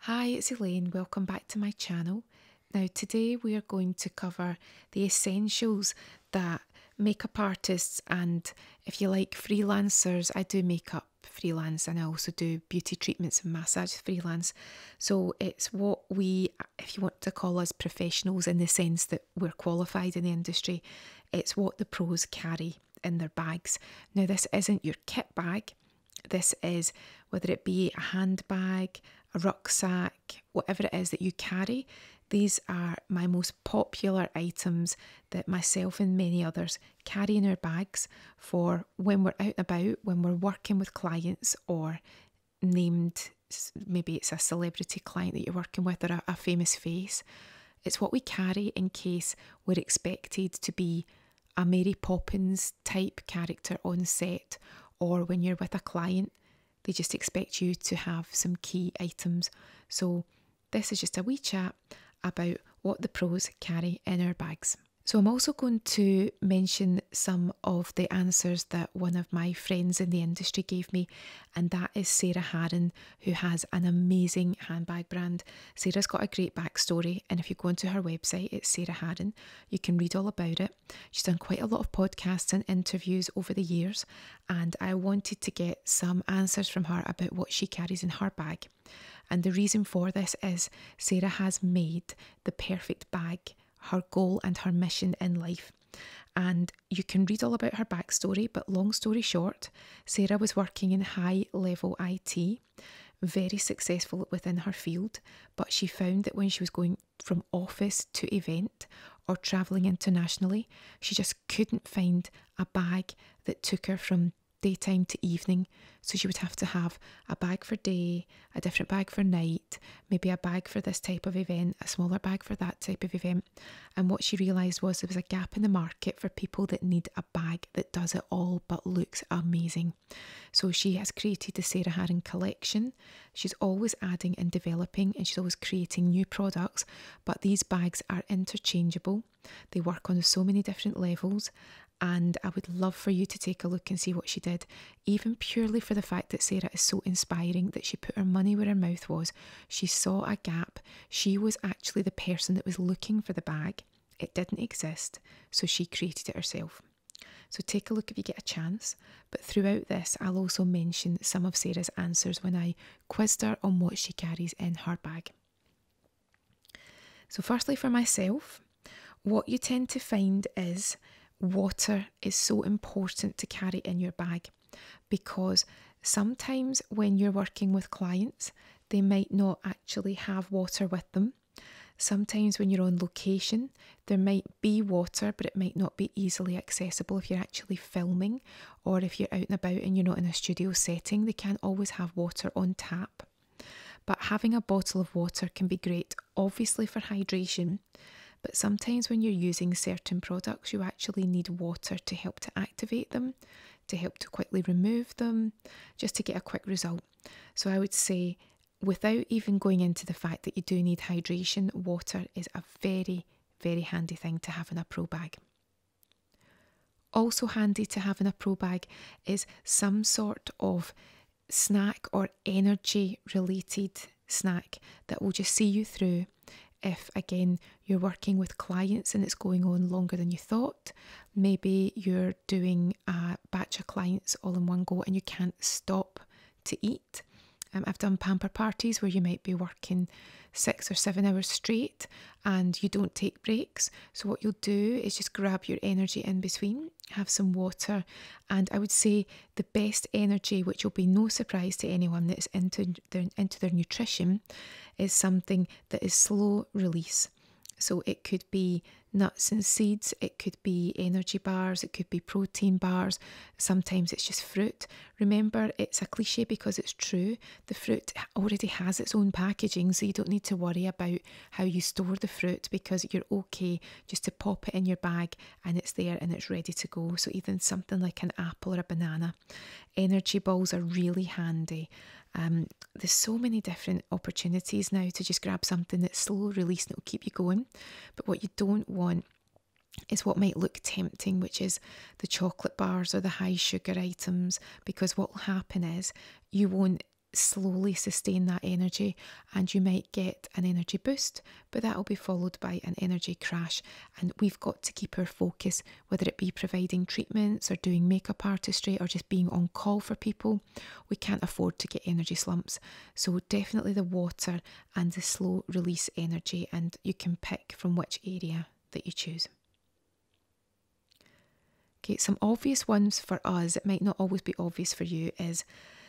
Hi, it's Elaine. Welcome back to my channel. Now, today we are going to cover the essentials that makeup artists and, if you like, freelancers. I do makeup freelance and I also do beauty treatments and massage freelance. So, it's what we, if you want to call us professionals in the sense that we're qualified in the industry, it's what the pros carry in their bags. Now, this isn't your kit bag. This is whether it be a handbag, a rucksack, whatever it is that you carry. These are my most popular items that myself and many others carry in our bags for when we're out and about, when we're working with clients or named, maybe it's a celebrity client that you're working with or a, a famous face. It's what we carry in case we're expected to be a Mary Poppins type character on set or when you're with a client, they just expect you to have some key items. So, this is just a wee chat about what the pros carry in their bags. So, I'm also going to mention some of the answers that one of my friends in the industry gave me, and that is Sarah Harron, who has an amazing handbag brand. Sarah's got a great backstory, and if you go onto her website, it's Sarah Harron, you can read all about it. She's done quite a lot of podcasts and interviews over the years, and I wanted to get some answers from her about what she carries in her bag. And the reason for this is Sarah has made the perfect bag her goal and her mission in life. And you can read all about her backstory, but long story short, Sarah was working in high level IT very successful within her field, but she found that when she was going from office to event or travelling internationally, she just couldn't find a bag that took her from daytime to evening. So she would have to have a bag for day, a different bag for night, maybe a bag for this type of event, a smaller bag for that type of event. And what she realised was there was a gap in the market for people that need a bag that does it all but looks amazing. So she has created the Sarah Harron collection. She's always adding and developing and she's always creating new products, but these bags are interchangeable. They work on so many different levels and I would love for you to take a look and see what she did, even purely for the fact that Sarah is so inspiring that she put her money where her mouth was. She saw a gap. She was actually the person that was looking for the bag. It didn't exist, so she created it herself. So take a look if you get a chance. But throughout this, I'll also mention some of Sarah's answers when I quizzed her on what she carries in her bag. So, firstly, for myself, what you tend to find is water is so important to carry in your bag because sometimes when you're working with clients, they might not actually have water with them Sometimes, when you're on location, there might be water, but it might not be easily accessible if you're actually filming or if you're out and about and you're not in a studio setting. They can't always have water on tap. But having a bottle of water can be great, obviously, for hydration. But sometimes, when you're using certain products, you actually need water to help to activate them, to help to quickly remove them, just to get a quick result so I would say, without even going into the fact that you do need hydration, water is a very, very handy thing to have in a pro bag. Also, handy to have in a pro bag is some sort of snack or energy related snack that will just see you through if again you're working with clients and it's going on longer than you thought maybe you're doing a batch of clients all in one go and you can't stop to eat. Um, I've done pamper parties where you might be working six or seven hours straight and you don't take breaks. So, what you'll do is just grab your energy in between, have some water, and I would say the best energy, which will be no surprise to anyone that's into their, into their nutrition, is something that is slow release. So, it could be nuts and seeds, it could be energy bars, it could be protein bars, sometimes it's just fruit. Remember, it's a cliche because it's true. The fruit already has its own packaging, so you don't need to worry about how you store the fruit because you're okay just to pop it in your bag and it's there and it's ready to go. So, even something like an apple or a banana. Energy balls are really handy. Um, there's so many different opportunities now to just grab something that's slow release and it'll keep you going. But what you don't want is what might look tempting, which is the chocolate bars or the high sugar items, because what will happen is you won't slowly sustain that energy and you might get an energy boost, but that will be followed by an energy crash. And we've got to keep our focus, whether it be providing treatments or doing makeup artistry or just being on call for people we can't afford to get energy slumps. So, definitely the water and the slow release energy, and you can pick from which area that you choose. Okay, some obvious ones for us, it might not always be obvious for you, is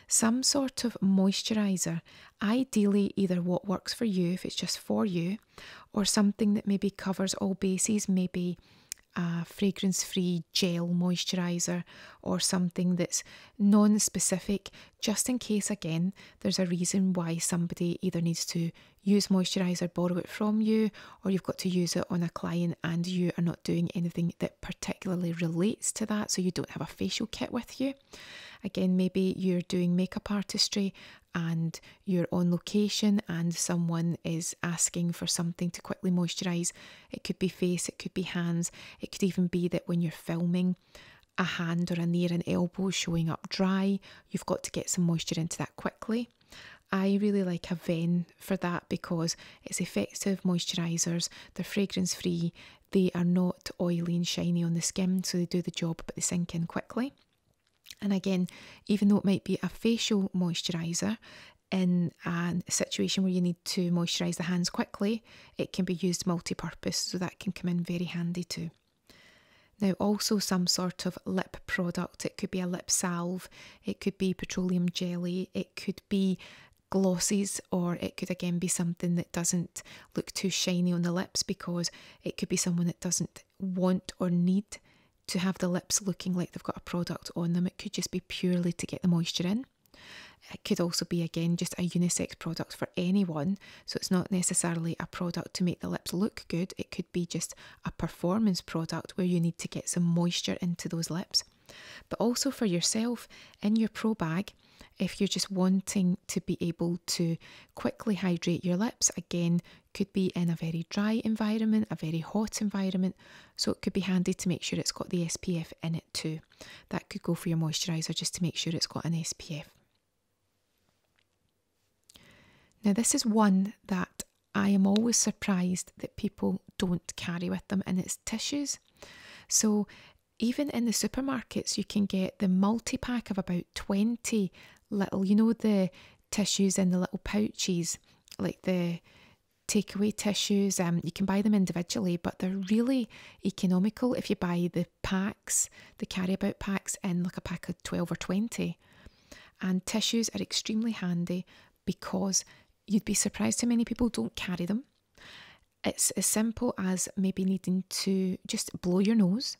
some sort of moisturiser, ideally either what works for you if it's just for you, or something that maybe covers all bases, maybe a fragrance free gel moisturizer or something that's non specific, just in case, again, there's a reason why somebody either needs to use moisturizer, borrow it from you, or you've got to use it on a client and you are not doing anything that particularly relates to that, so you don't have a facial kit with you. Again, maybe you're doing makeup artistry and you're on location and someone is asking for something to quickly moisturize. It could be face, it could be hands, it could even be that when you're filming, a hand or a near an elbow showing up dry, you've got to get some moisture into that quickly. I really like a Aven for that because it's effective moisturisers, they're fragrance free, they are not oily and shiny on the skin, so they do the job but they sink in quickly. And again, even though it might be a facial moisturiser, in a situation where you need to moisturise the hands quickly, it can be used multi purpose, so that can come in very handy too. Now, also some sort of lip product. It could be a lip salve, it could be petroleum jelly, it could be glosses, or it could again be something that doesn't look too shiny on the lips because it could be someone that doesn't want or need to have the lips looking like they've got a product on them. It could just be purely to get the moisture in. It could also be, again, just a unisex product for anyone. So it's not necessarily a product to make the lips look good. It could be just a performance product where you need to get some moisture into those lips. But also for yourself in your pro bag, if you're just wanting to be able to quickly hydrate your lips, again, could be in a very dry environment, a very hot environment, so it could be handy to make sure it's got the SPF in it too. That could go for your moisturiser just to make sure it's got an SPF. Now, this is one that I am always surprised that people don't carry with them, and it's tissues. So, even in the supermarkets, you can get the multi pack of about 20 little, you know, the tissues in the little pouches, like the takeaway tissues. Um, you can buy them individually, but they're really economical if you buy the packs, the carry about packs in like a pack of 12 or 20. And tissues are extremely handy because you'd be surprised how many people don't carry them. It's as simple as maybe needing to just blow your nose,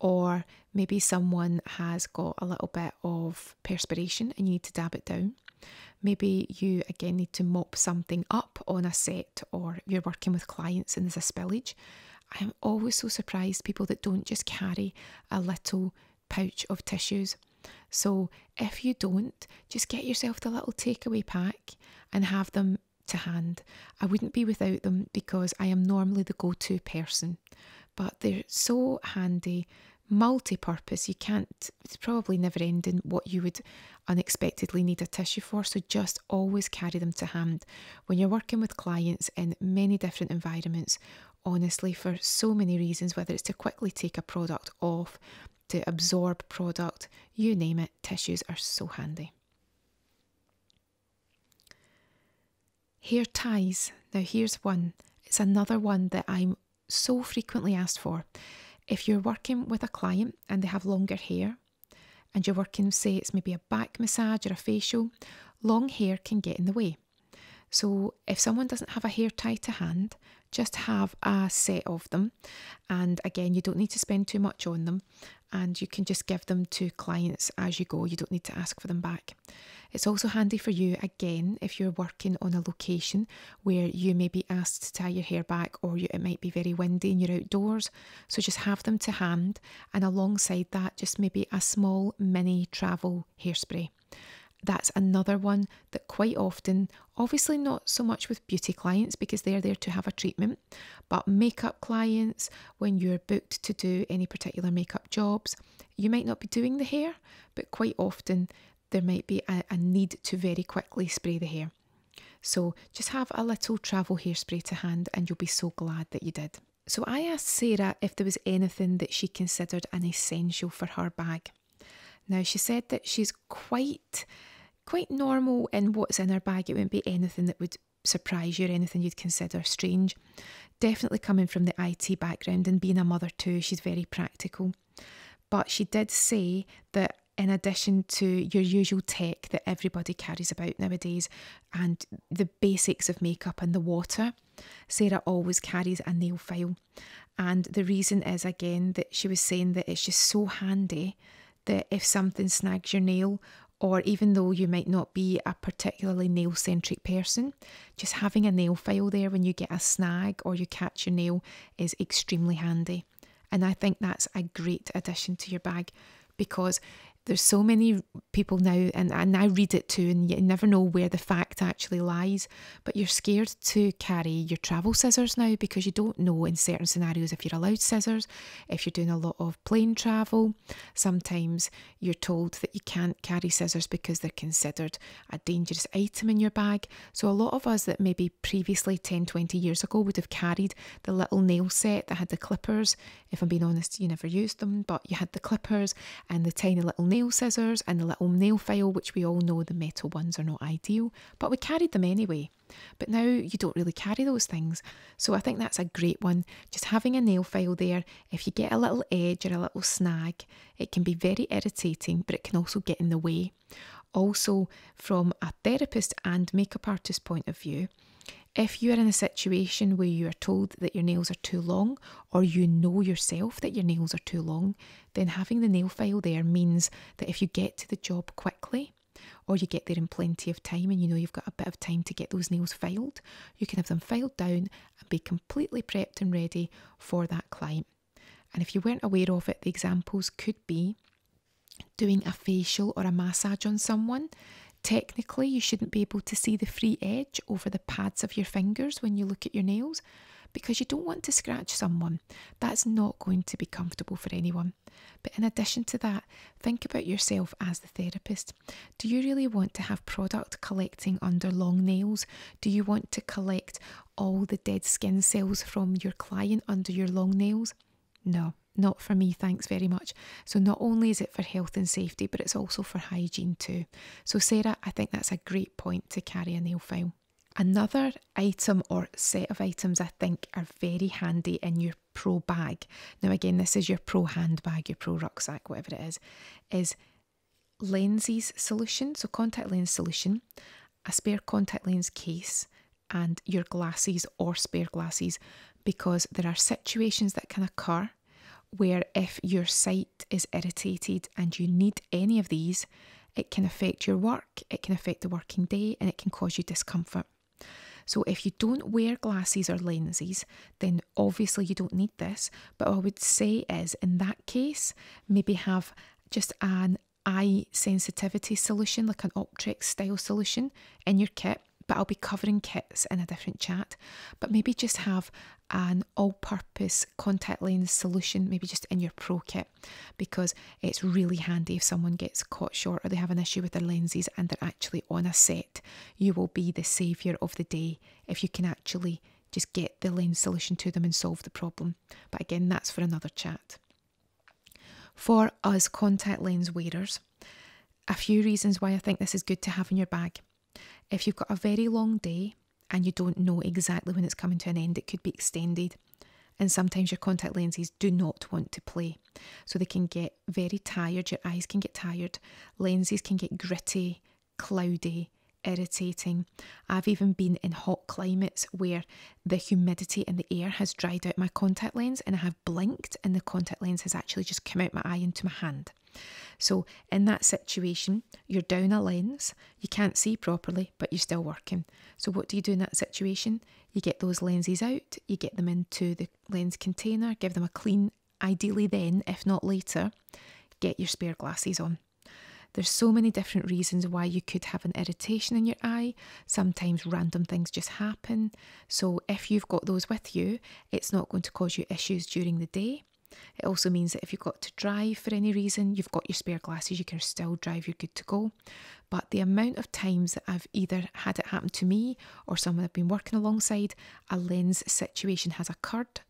or maybe someone has got a little bit of perspiration and you need to dab it down. Maybe you again need to mop something up on a set or you're working with clients and there's a spillage. I'm always so surprised people that don't just carry a little pouch of tissues. So if you don't, just get yourself the little takeaway pack and have them to hand. I wouldn't be without them because I am normally the go to person, but they're so handy multi purpose. You can't, it's probably never ending what you would unexpectedly need a tissue for. So just always carry them to hand. When you're working with clients in many different environments, honestly, for so many reasons, whether it's to quickly take a product off, to absorb product, you name it, tissues are so handy. Hair ties. Now, here's one. It's another one that I'm so frequently asked for. If you're working with a client and they have longer hair, and you're working, say, it's maybe a back massage or a facial, long hair can get in the way. So, if someone doesn't have a hair tie to hand, just have a set of them. And again, you don't need to spend too much on them, and you can just give them to clients as you go. You don't need to ask for them back. It's also handy for you again if you're working on a location where you may be asked to tie your hair back or it might be very windy and you're outdoors. So just have them to hand and alongside that, just maybe a small mini travel hairspray. That's another one that quite often, obviously not so much with beauty clients because they're there to have a treatment, but makeup clients, when you're booked to do any particular makeup jobs, you might not be doing the hair, but quite often there might be a, need to very quickly spray the hair. So just have a little travel hairspray to hand and you'll be so glad that you did. So I asked Sarah if there was anything that she considered an essential for her bag. Now she said that she's quite quite normal in what's in her bag. It wouldn't be anything that would surprise you or anything you'd consider strange. Definitely coming from the IT background and being a mother too, she's very practical. But she did say that in addition to your usual tech that everybody carries about nowadays and the basics of makeup and the water, Sarah always carries a nail file. And the reason is again that she was saying that it's just so handy that if something snags your nail, or even though you might not be a particularly nail centric person, just having a nail file there when you get a snag or you catch your nail is extremely handy. And I think that's a great addition to your bag because there's so many people now, and, and I read it too, and you never know where the fact actually lies. But you're scared to carry your travel scissors now because you don't know in certain scenarios if you're allowed scissors, if you're doing a lot of plane travel. Sometimes you're told that you can't carry scissors because they're considered a dangerous item in your bag. So, a lot of us that maybe previously 10, 20 years ago would have carried the little nail set that had the clippers. If I'm being honest, you never used them, but you had the clippers and the tiny little nail scissors and the little nail file, which we all know the metal ones are not ideal, but we carried them anyway. But now you don't really carry those things. So I think that's a great one. Just having a nail file there if you get a little edge or a little snag, it can be very irritating, but it can also get in the way. Also, from a therapist and makeup artist point of view, if you are in a situation where you are told that your nails are too long, or you know yourself that your nails are too long, then having the nail file there means that if you get to the job quickly, or you get there in plenty of time and you know you've got a bit of time to get those nails filed, you can have them filed down and be completely prepped and ready for that client. And if you weren't aware of it, the examples could be doing a facial or a massage on someone. Technically, you shouldn't be able to see the free edge over the pads of your fingers when you look at your nails because you don't want to scratch someone. That's not going to be comfortable for anyone. But in addition to that, think about yourself as the therapist. Do you really want to have product collecting under long nails? Do you want to collect all the dead skin cells from your client under your long nails? No, not for me, thanks very much. So, not only is it for health and safety, but it's also for hygiene too. So, Sarah, I think that's a great point to carry a nail file. Another item or set of items I think are very handy in your pro bag. Now, again, this is your pro handbag, your pro rucksack, whatever it is, is lenses solution, so contact lens solution, a spare contact lens case, and your glasses or spare glasses because there are situations that can occur where if your sight is irritated and you need any of these, it can affect your work, it can affect the working day, and it can cause you discomfort. So, if you don't wear glasses or lenses, then obviously you don't need this, but I would say is in that case, maybe have just an eye sensitivity solution, like an Optrex style solution in your kit. But I'll be covering kits in a different chat. But maybe just have an all purpose contact lens solution, maybe just in your pro kit, because it's really handy if someone gets caught short or they have an issue with their lenses and they're actually on a set. You will be the saviour of the day if you can actually just get the lens solution to them and solve the problem. But again, that's for another chat. For us contact lens wearers, a few reasons why I think this is good to have in your bag. If you've got a very long day and you don't know exactly when it's coming to an end, it could be extended. And sometimes your contact lenses do not want to play. So they can get very tired, your eyes can get tired, lenses can get gritty, cloudy, irritating. I've even been in hot climates where the humidity in the air has dried out my contact lenses, and I have blinked and the contact lens has actually just come out my eye into my hand. So, in that situation, you're down a lens, you can't see properly, but you're still working. So, what do you do in that situation? You get those lenses out, you get them into the lens container, give them a clean ideally then, if not later, get your spare glasses on. There's so many different reasons why you could have an irritation in your eye. Sometimes random things just happen. So, if you've got those with you, it's not going to cause you issues during the day. It also means that if you've got to drive for any reason, you've got your spare glasses, you can still drive, you're good to go. But the amount of times that I've either had it happen to me or someone I've been working alongside, a lens situation has occurred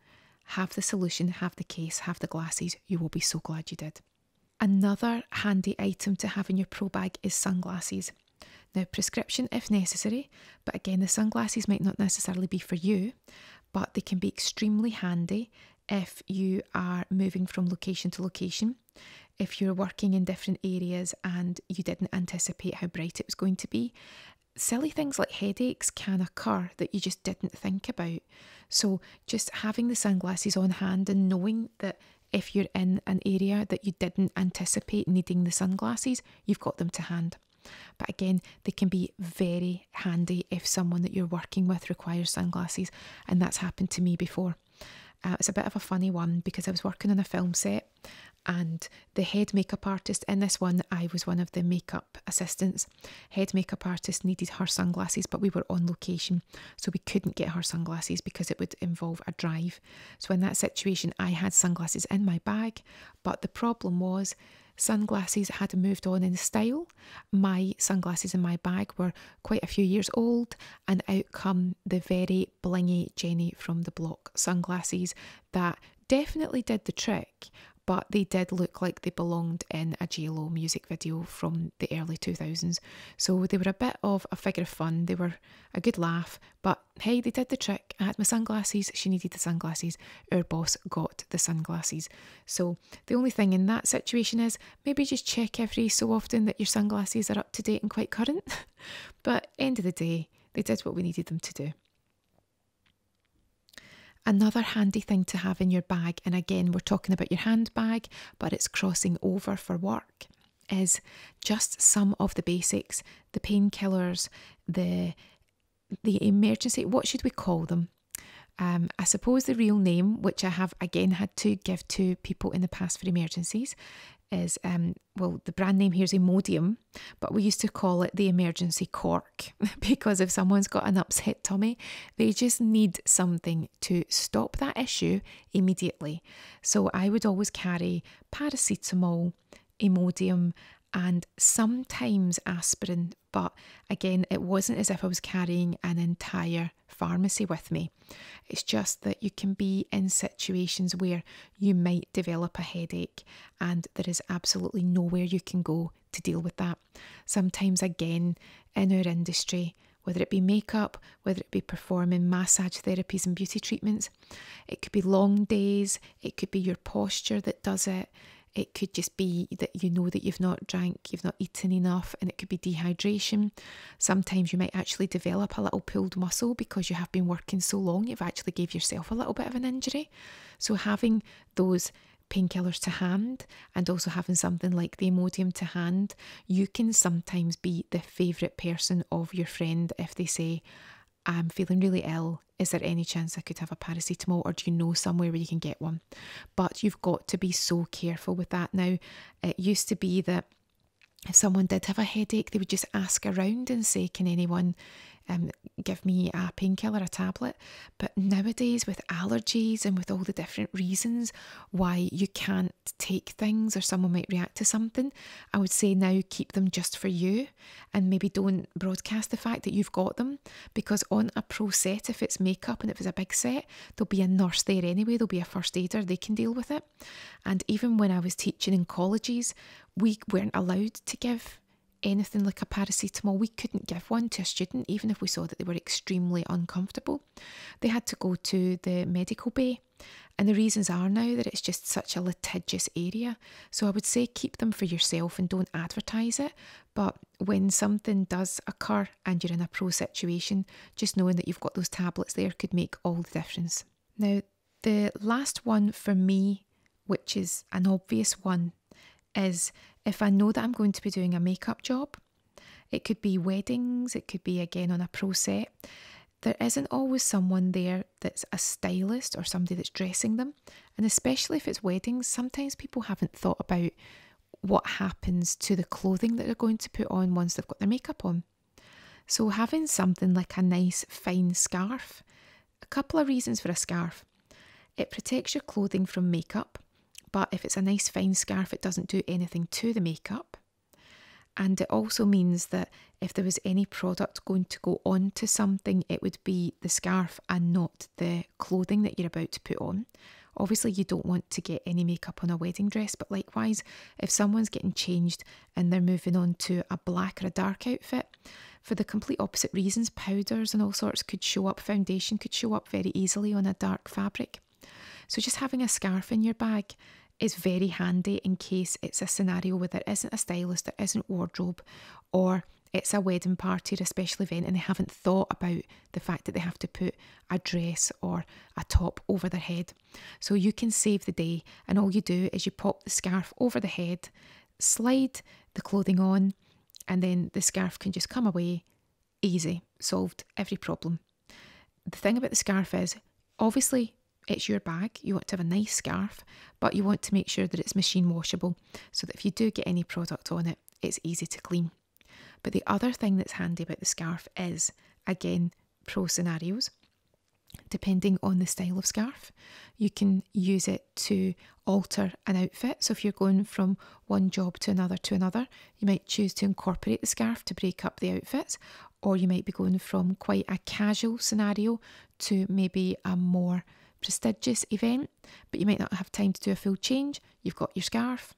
have the solution, have the case, have the glasses. You will be so glad you did. Another handy item to have in your pro bag is sunglasses. Now, prescription if necessary, but again, the sunglasses might not necessarily be for you, but they can be extremely handy if you are moving from location to location, if you're working in different areas and you didn't anticipate how bright it was going to be, silly things like headaches can occur that you just didn't think about. So just having the sunglasses on hand and knowing that if you're in an area that you didn't anticipate needing the sunglasses, you've got them to hand. But again, they can be very handy if someone that you're working with requires sunglasses, and that's happened to me before. Uh, it's a bit of a funny one because I was working on a film set and the head makeup artist in this one, I was one of the makeup assistants. Head makeup artist needed her sunglasses, but we were on location, so we couldn't get her sunglasses because it would involve a drive. So, in that situation, I had sunglasses in my bag, but the problem was sunglasses had moved on in style. My sunglasses in my bag were quite a few years old, and out come the very blingy Jenny from the block sunglasses that definitely did the trick but they did look like they belonged in a JLo music video from the early 2000s. So they were a bit of a figure of fun, they were a good laugh, but hey, they did the trick. I had my sunglasses, she needed the sunglasses, Her boss got the sunglasses. So the only thing in that situation is maybe just check every so often that your sunglasses are up to date and quite current. but end of the day, they did what we needed them to do. Another handy thing to have in your bag, and again, we're talking about your handbag, but it's crossing over for work, is just some of the basics the painkillers, the, the emergency, what should we call them? Um, I suppose the real name, which I have again had to give to people in the past for emergencies, is um, well, the brand name here is Imodium, but we used to call it the emergency cork because if someone's got an upset tummy, they just need something to stop that issue immediately. So I would always carry paracetamol, Imodium, and sometimes aspirin, but again, it wasn't as if I was carrying an entire pharmacy with me. It's just that you can be in situations where you might develop a headache, and there is absolutely nowhere you can go to deal with that. Sometimes, again, in our industry, whether it be makeup, whether it be performing massage therapies and beauty treatments, it could be long days, it could be your posture that does it, it could just be that you know that you've not drank, you've not eaten enough, and it could be dehydration. Sometimes you might actually develop a little pulled muscle because you have been working so long, you've actually gave yourself a little bit of an injury. So having those painkillers to hand and also having something like the Imodium to hand, you can sometimes be the favourite person of your friend if they say, I'm feeling really ill. Is there any chance I could have a paracetamol or do you know somewhere where you can get one? But you've got to be so careful with that now. It used to be that if someone did have a headache, they would just ask around and say, Can anyone um, give me a painkiller, a tablet. But nowadays, with allergies and with all the different reasons why you can't take things or someone might react to something, I would say now keep them just for you and maybe don't broadcast the fact that you've got them because on a pro set, if it's makeup and if it's a big set, there'll be a nurse there anyway, there'll be a first aider, they can deal with it. And even when I was teaching in colleges, we weren't allowed to give anything like a paracetamol. We couldn't give one to a student, even if we saw that they were extremely uncomfortable. They had to go to the medical bay. And the reasons are now that it's just such a litigious area. So I would say keep them for yourself and don't advertise it. But when something does occur and you're in a pro situation, just knowing that you've got those tablets there could make all the difference. Now, the last one for me, which is an obvious one, is if I know that I'm going to be doing a makeup job, it could be weddings, it could be again on a pro set. There isn't always someone there that's a stylist or somebody that's dressing them. And especially if it's weddings, sometimes people haven't thought about what happens to the clothing that they're going to put on once they've got their makeup on. So, having something like a nice fine scarf a couple of reasons for a scarf. It protects your clothing from makeup, but if it's a nice fine scarf, it doesn't do anything to the makeup. And it also means that if there was any product going to go on to something, it would be the scarf and not the clothing that you're about to put on. Obviously, you don't want to get any makeup on a wedding dress, but likewise, if someone's getting changed and they're moving on to a black or a dark outfit for the complete opposite reasons. Powders and all sorts could show up, foundation could show up very easily on a dark fabric. So, just having a scarf in your bag is very handy in case it's a scenario where there isn't a stylist, there isn't wardrobe, or it's a wedding party or a special event and they haven't thought about the fact that they have to put a dress or a top over their head. So you can save the day, and all you do is you pop the scarf over the head slide the clothing on, and then the scarf can just come away easy, solved every problem. The thing about the scarf is obviously it's your bag, you want to have a nice scarf, but you want to make sure that it's machine washable so that if you do get any product on it, it's easy to clean. But the other thing that's handy about the scarf is, again, pro scenarios depending on the style of scarf. You can use it to alter an outfit. So if you're going from one job to another to another, you might choose to incorporate the scarf to break up the outfit, or you might be going from quite a casual scenario to maybe a more prestigious event, but you might not have time to do a full change. You've got your scarf.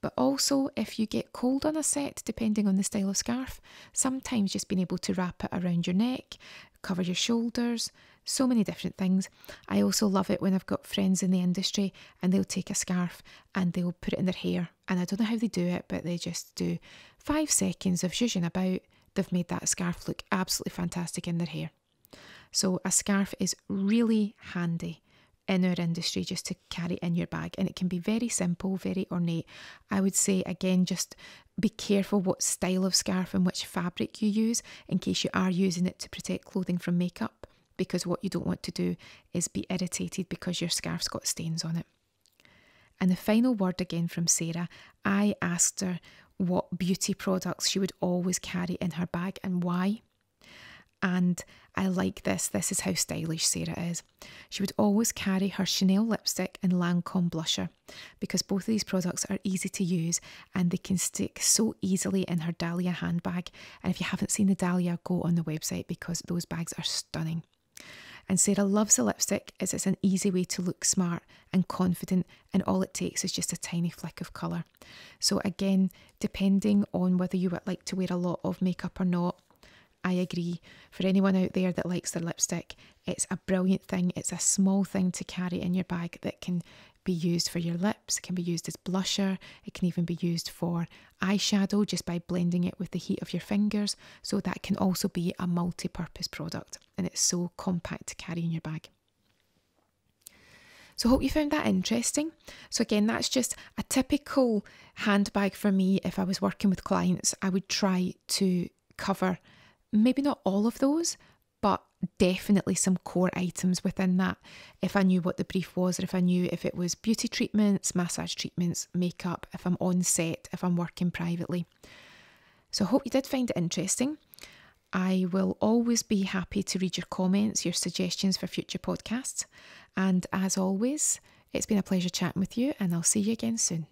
But also, if you get cold on a set, depending on the style of scarf, sometimes just being able to wrap it around your neck cover your shoulders, so many different things. I also love it when I've got friends in the industry and they'll take a scarf and they'll put it in their hair. And I don't know how they do it, but they just do five seconds of zhuzhing about. They've made that scarf look absolutely fantastic in their hair. So a scarf is really handy in our industry just to carry in your bag and it can be very simple very ornate i would say again just be careful what style of scarf and which fabric you use in case you are using it to protect clothing from makeup, because what you don't want to do is be irritated because your scarf's got stains on it. And the final word again from Sarah I asked her what beauty products she would always carry in her bag and why. And I like this. This is how stylish Sarah is. She would always carry her Chanel lipstick and Lancome blusher because both of these products are easy to use and they can stick so easily in her Dahlia handbag. And if you haven't seen the Dahlia, go on the website because those bags are stunning. And Sarah loves the lipstick as it's an easy way to look smart and confident, and all it takes is just a tiny flick of colour. So, again, depending on whether you would like to wear a lot of makeup or not, I agree. For anyone out there that likes the lipstick, it's a brilliant thing. It's a small thing to carry in your bag that can be used for your lips, it can be used as blusher, it can even be used for eyeshadow just by blending it with the heat of your fingers. So that can also be a multi purpose product and it's so compact to carry in your bag. So, hope you found that interesting. So, again, that's just a typical handbag for me. If I was working with clients, I would try to cover maybe not all of those, but definitely some core items within that. If I knew what the brief was, or if I knew if it was beauty treatments, massage treatments, makeup, if I'm on set, if I'm working privately. So I hope you did find it interesting. I will always be happy to read your comments, your suggestions for future podcasts. And as always, it's been a pleasure chatting with you, and I'll see you again soon.